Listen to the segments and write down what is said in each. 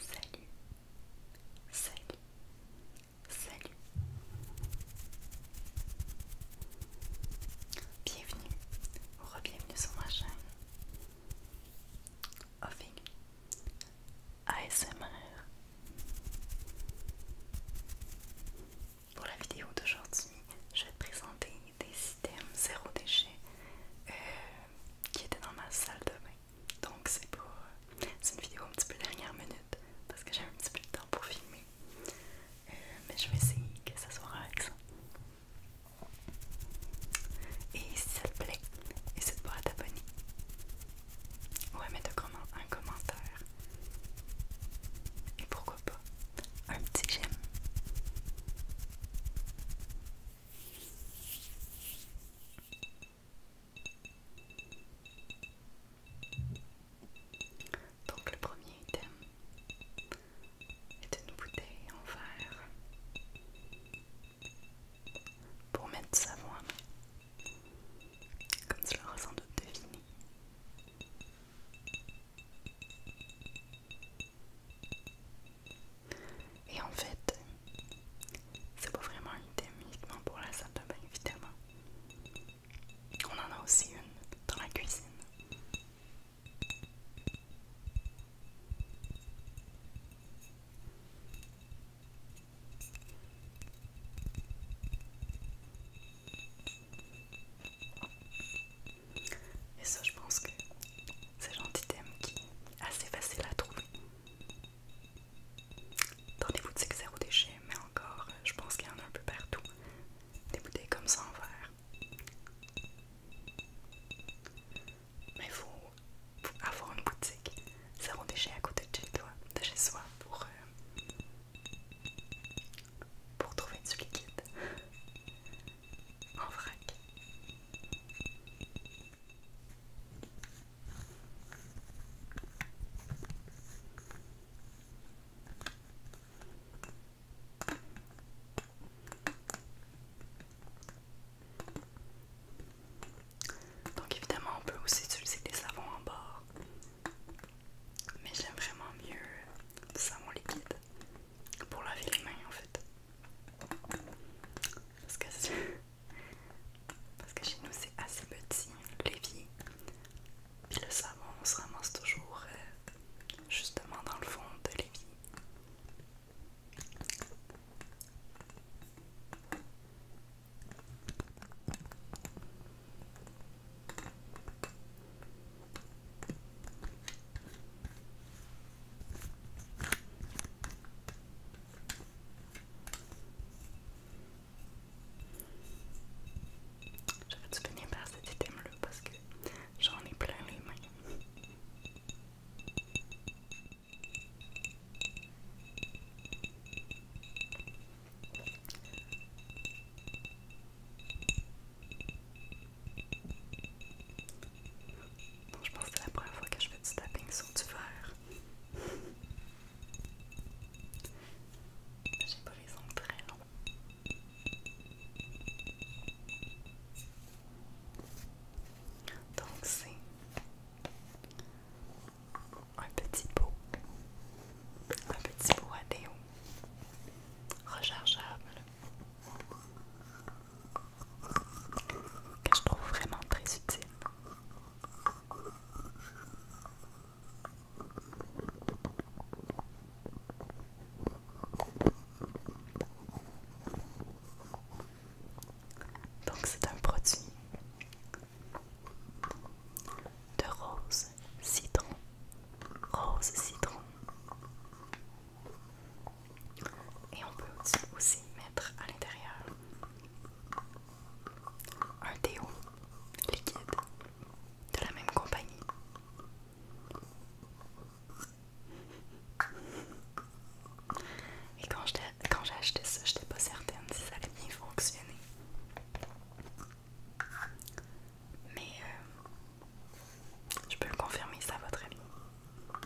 Salut, salut, salut. Bienvenue ou re-bienvenue sur ma chaîne. Offing ASMR. Pour la vidéo d'aujourd'hui, je vais te présenter des systèmes zéro déchet euh, qui étaient dans ma salle de bain. Donc c'est pour... C'est une vidéo un petit peu dernière minute parce que j'ai un petit peu de temps pour filmer. Euh, mais je vais essayer que ça soit ça. Et si ça te plaît, n'hésite pas à t'abonner. ouais à mettre un commentaire. Et pourquoi pas un petit j'aime. Donc le premier item est une bouteille en verre pour mettre sa voix comme cela aura sans doute et en fait, c'est pas vraiment un item uniquement pour la salle de bain, évidemment. On en a aussi une dans la cuisine. Et ça, je pense que c'est un thème qui est assez facile à trouver. Dans des boutiques zéro déchet, mais encore, je pense qu'il y en a un peu partout. Des bouteilles comme ça en verre. Mais il faut, avoir une boutique zéro déchet à côté de chez toi, de chez soi pour, euh, pour trouver du liquide en vrac. Donc évidemment on peut aussi utiliser des savons en bord, mais j'aime vraiment mieux le savon liquide pour laver les mains en fait. Parce que, chez nous c'est assez petit, l'évier. Puis le savon, se ramasse toujours euh, justement dans le fond de Lévi. J'aurais dû venir par cet item parce que j'en ai plein les mains je pense que c'est la première fois que je fais du tapping sur du verre. J'ai pas les très long. Donc c'est un petit pot, un petit pot à déo rechargeable que je trouve vraiment très utile. Donc c'est un produit de rose, citron, rose, citron, et on peut aussi mettre à l'intérieur un théo liquide de la même compagnie. Et quand j'ai acheté ça, je n'étais pas certaine si ça allait bien fonctionner. Mais euh, je peux le confirmer, ça va très bien.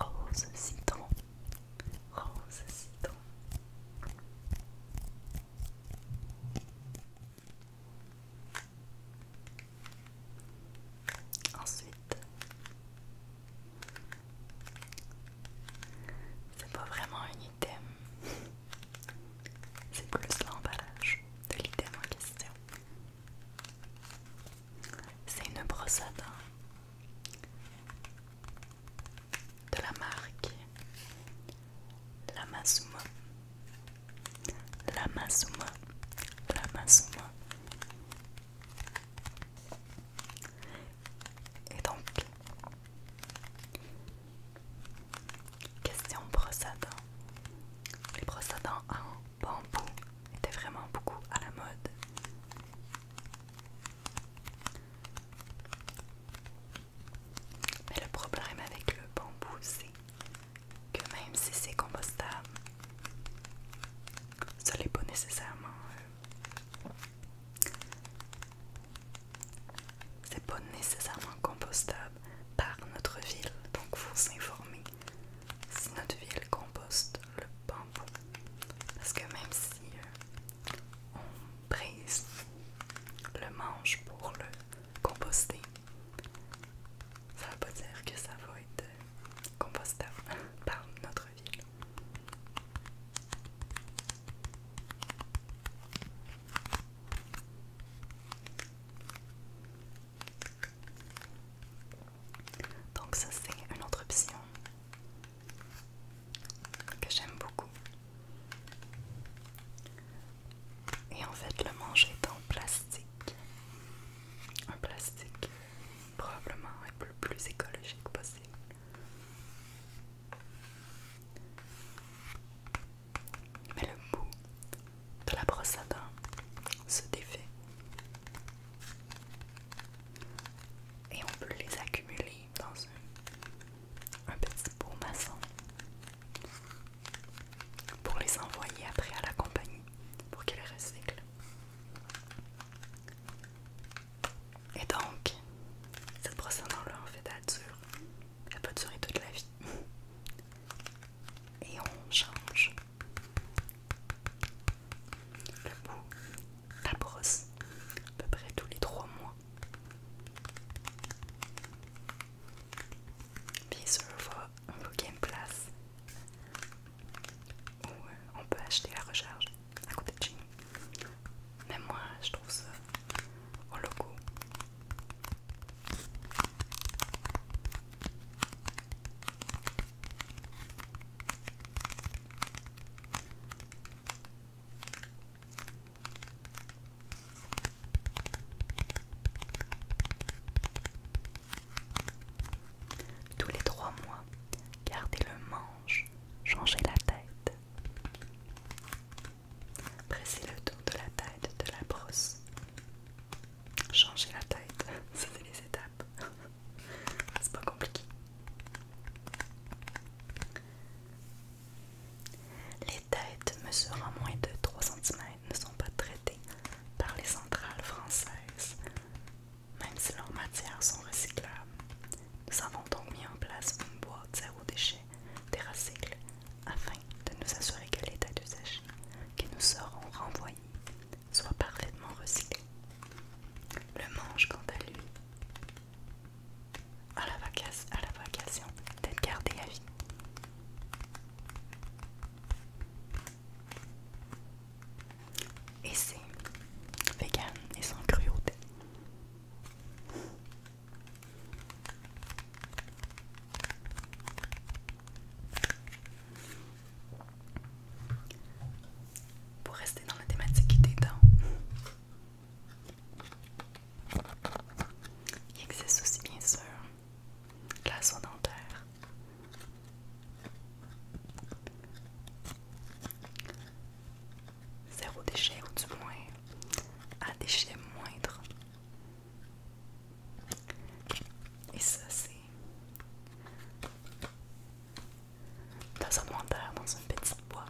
Rose, citron, rose citron. Ensuite, c'est pas vraiment un item, c'est plus l'emballage de l'item en question. C'est une brosse à de la marque la la Lamasuma. La Lamasuma. Et donc, question brosse à dents. Les brosses à dents en bambou étaient vraiment beaucoup à la mode. Mais le problème avec le bambou, c'est que même si c'est compostable, ça n'est pas nécessairement. Euh. c'est pas nécessairement compostable par notre ville, donc faut s'informer si notre ville composte le bambou. Parce que même si euh, on brise le manche pour le composter. Ça veut pas dire que ça va être euh, compostable par notre ville. Donc ça c'est une autre option que j'aime beaucoup. Et en fait, le manger est en plastique. Un plastique probablement le plus écologique possible. Mais le bout de la brosse à dents se défait. Et on peut les accumuler dans un, petit pot maçon pour les envoyer après à la compagnie pour qu'elle recycle. Et donc, cette procédure là en fait, elle dure. Elle peut durer toute la vie. Et on change le bout la brosse à peu près tous les trois mois. puis, sur le voit place où euh, on peut acheter la recharge à côté de chez nous. Mais moi, je trouve ça au logo. Tous les trois mois, gardez le manche, changez la tête. Pressez le dos de la tête de la brosse. Changez la tête, c'est les étapes. C'est pas compliqué. Les têtes mesurant moins de 3 cm ne sont pas traitées par les centrales françaises, même si leurs matières sont recyclables. Nous avons donc mis en place une boîte zéro déchet racycles afin de nous assurer que les têtes usagées qui nous seront renvoyées soient parfaitement recyclées. Le manche, quant à lui, à la, vacace, à la vacation d'être gardé à vie. Et c'est vegan et sans cruauté pour rester dans la thématique des dents. Il existe aussi bien sûr la sonde dentaire. Zéro déchet ou du moins à déchet moindre. Et ça c'est dans un inventaire, dans une petite boîte.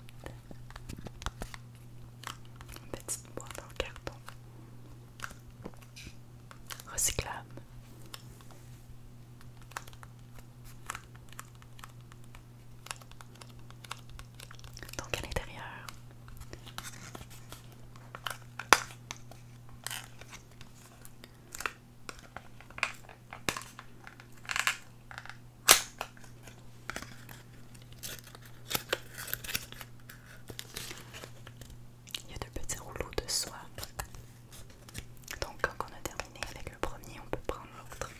Une petite boîte en carton. Recyclable. Donc à l'intérieur. Il y a deux petits rouleaux de soie. Donc quand on a terminé avec le premier, on peut prendre l'autre.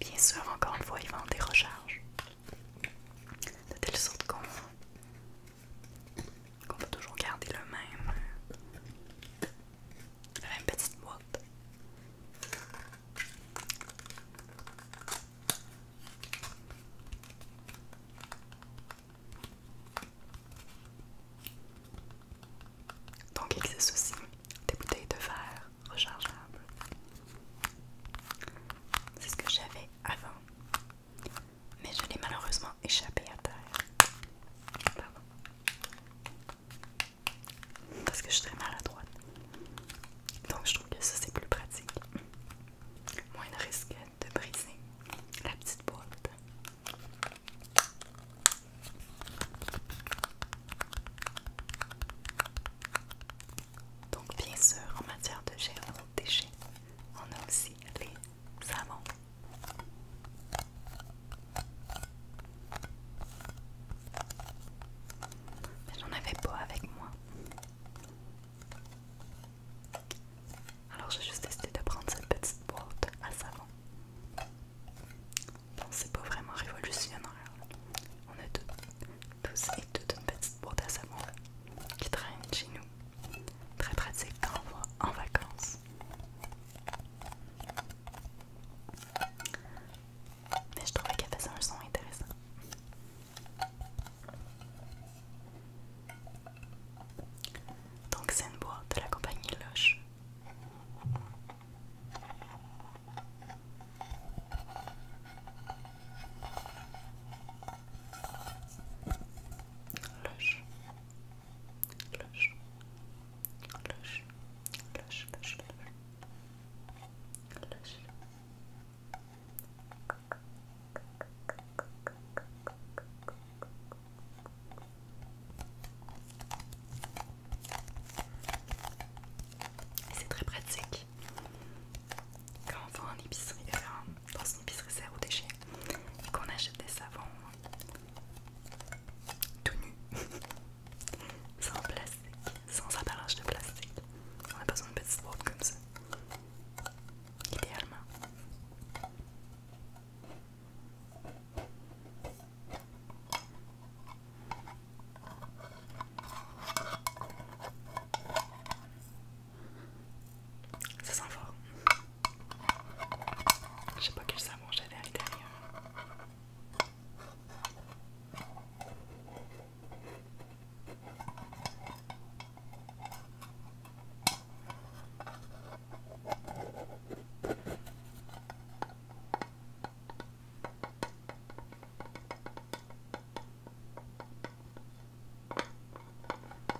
Bien sûr, encore une fois, il va en recharges. De telle sorte qu'on qu'on va toujours garder le même, euh, la même petite boîte. Donc il existe aussi des bouteilles de verre rechargeables. C'est ce que j'avais avant mais je l'ai malheureusement échappé à terre. Parce que je suis très droite. Donc je trouve que ça c'est plus pratique. Moins de risque de briser la petite boîte. Donc bien sûr, en matière de gel déchets, on a aussi les savon. Mais j'en avais pas avec moi. Alors j'ai juste décidé de prendre cette petite boîte à savon. c'est pas vraiment révolutionnaire. On a tous et toutes une petite boîte à savon qui traîne chez nous. Très très quand en vacances. Mais je trouvais qu'elle faisait un son intéressant. Donc c'est une boîte de la compagnie Loche. Loche. C'est très pratique quand on va une épicerie, euh, dans une épicerie serre au déchet et qu'on achète des savons tout nu, sans plastique, sans appareil de plastique. On a besoin de petites boîtes comme ça, idéalement. Ça sent fort. Je sais pas que ça mangeait derrière moi.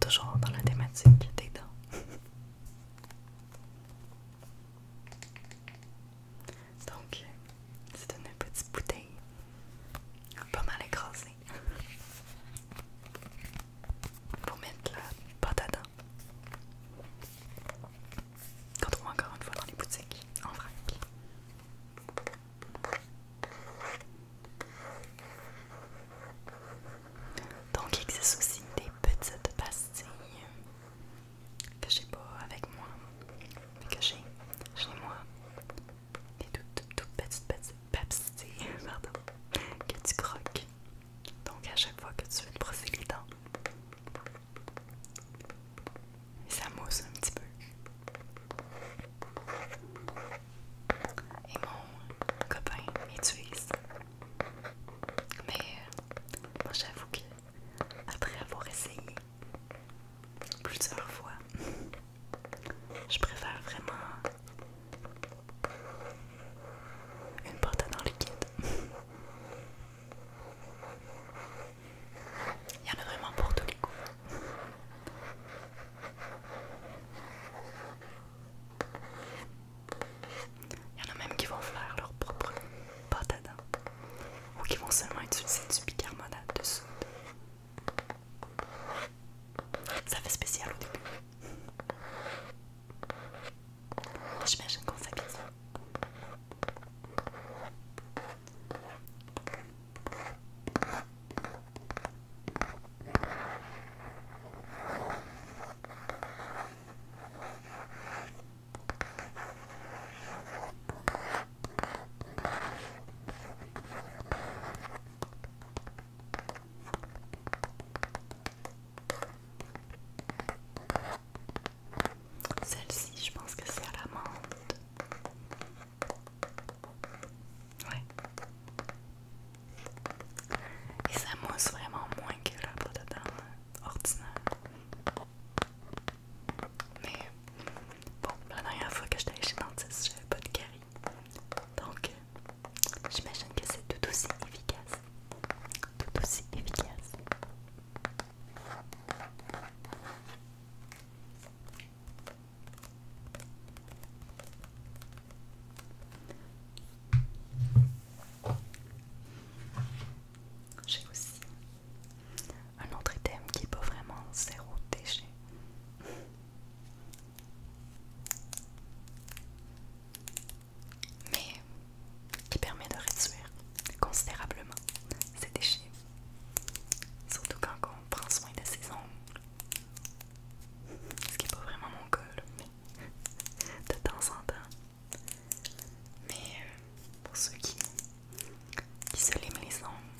Toujours dans la thématique des dents. Donc, c'est une petite bouteille pas mal écrasée pour mettre la patate. à dents qu'on trouve encore une fois dans les boutiques en vrac. Donc, il existe aussi des petites pastilles que j'ai pas avec moi. que j'ai chez moi des toutes, petites, petites que tu croques. Donc à chaque fois que tu veux te brosser les dents, ça mousse un petit peu. Et mon copain m'étuise Mais moi j'avoue que après avoir essayé plusieurs fois, je préfère vraiment une porte en liquide. Il y en a vraiment pour tous les coups. Il y en a même qui vont faire leur propre pâte hein. ou qui vont seulement utiliser du bicarbonate de soude. Ça fait spécial au début. J'imagine qu'on s'habille ça. Celle-ci, je pense que c'est à l'amande. Ouais. Et ça mousse vraiment moins que la peau de ordinaire. Mais bon, la dernière fois que j'étais allée chez le dentiste, j'avais pas de caries. Donc, euh, j'imagine que c'est tout aussi efficace. Tout aussi efficace. J'ai aussi un autre item qui n'est pas vraiment zéro déchet. Mais qui permet de réduire considérablement ses déchets. Surtout quand on prend soin de ses ongles. Ce qui n'est pas vraiment mon goal, mais de temps en temps, mais euh, pour ceux qui, se liment les ongles,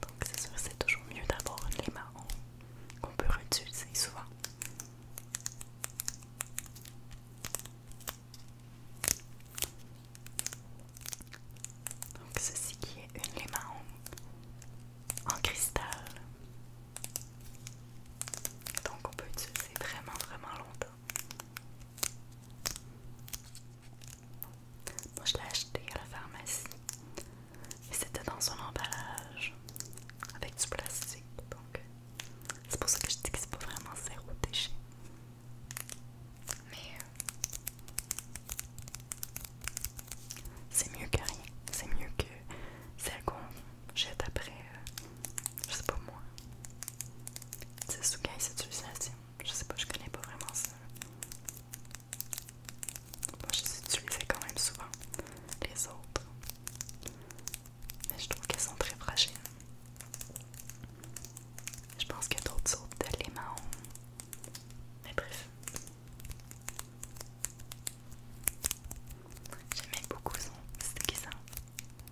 donc c'est sûr c'est toujours mieux d'avoir une lima à qu'on peut réutiliser souvent. Donc ceci qui est une lima à en cristal. Donc on peut utiliser vraiment vraiment longtemps. Moi je l'ai acheté à la pharmacie. Et c'était dans son emballage avec du plastique. Donc c'est pour ça que je dis que c'est pas vraiment zéro déchet. Mais euh, c'est mieux que rien. C'est mieux que celle qu'on jette après, euh, je sais pas moi, c'est utilise la team. Je sais pas, je connais pas vraiment ça. Moi je les utilisais quand même souvent, les autres. Mais je trouve qu'elles sont très fragiles. Je pense que d'autres sortes de Mais bref. J'aimais beaucoup ça, qu'ils ont.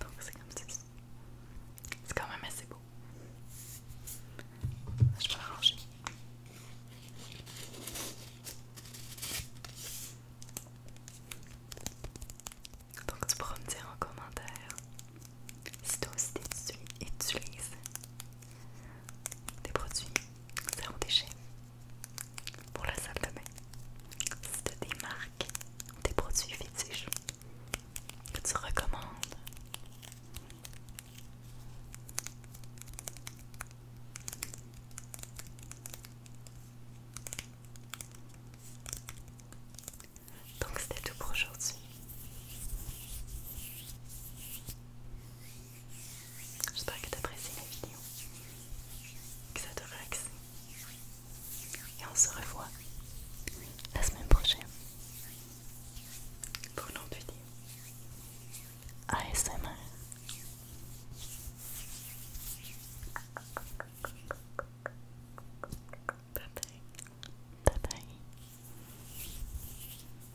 Donc c'est comme ceci. C'est quand même assez beau. Je peux l'arranger. Donc tu pourras me dire en commentaire si toi aussi tu utilises des produits zéro déchet pour la salle de bain. Si des marques des produits fétiches que tu recommandes, donc c'était tout pour aujourd'hui. J'espère que tu apprécies la vidéo, que ça te relaxe. Et on se revoit la semaine prochaine pour une vidéo ASMR. Bye bye. Bye bye.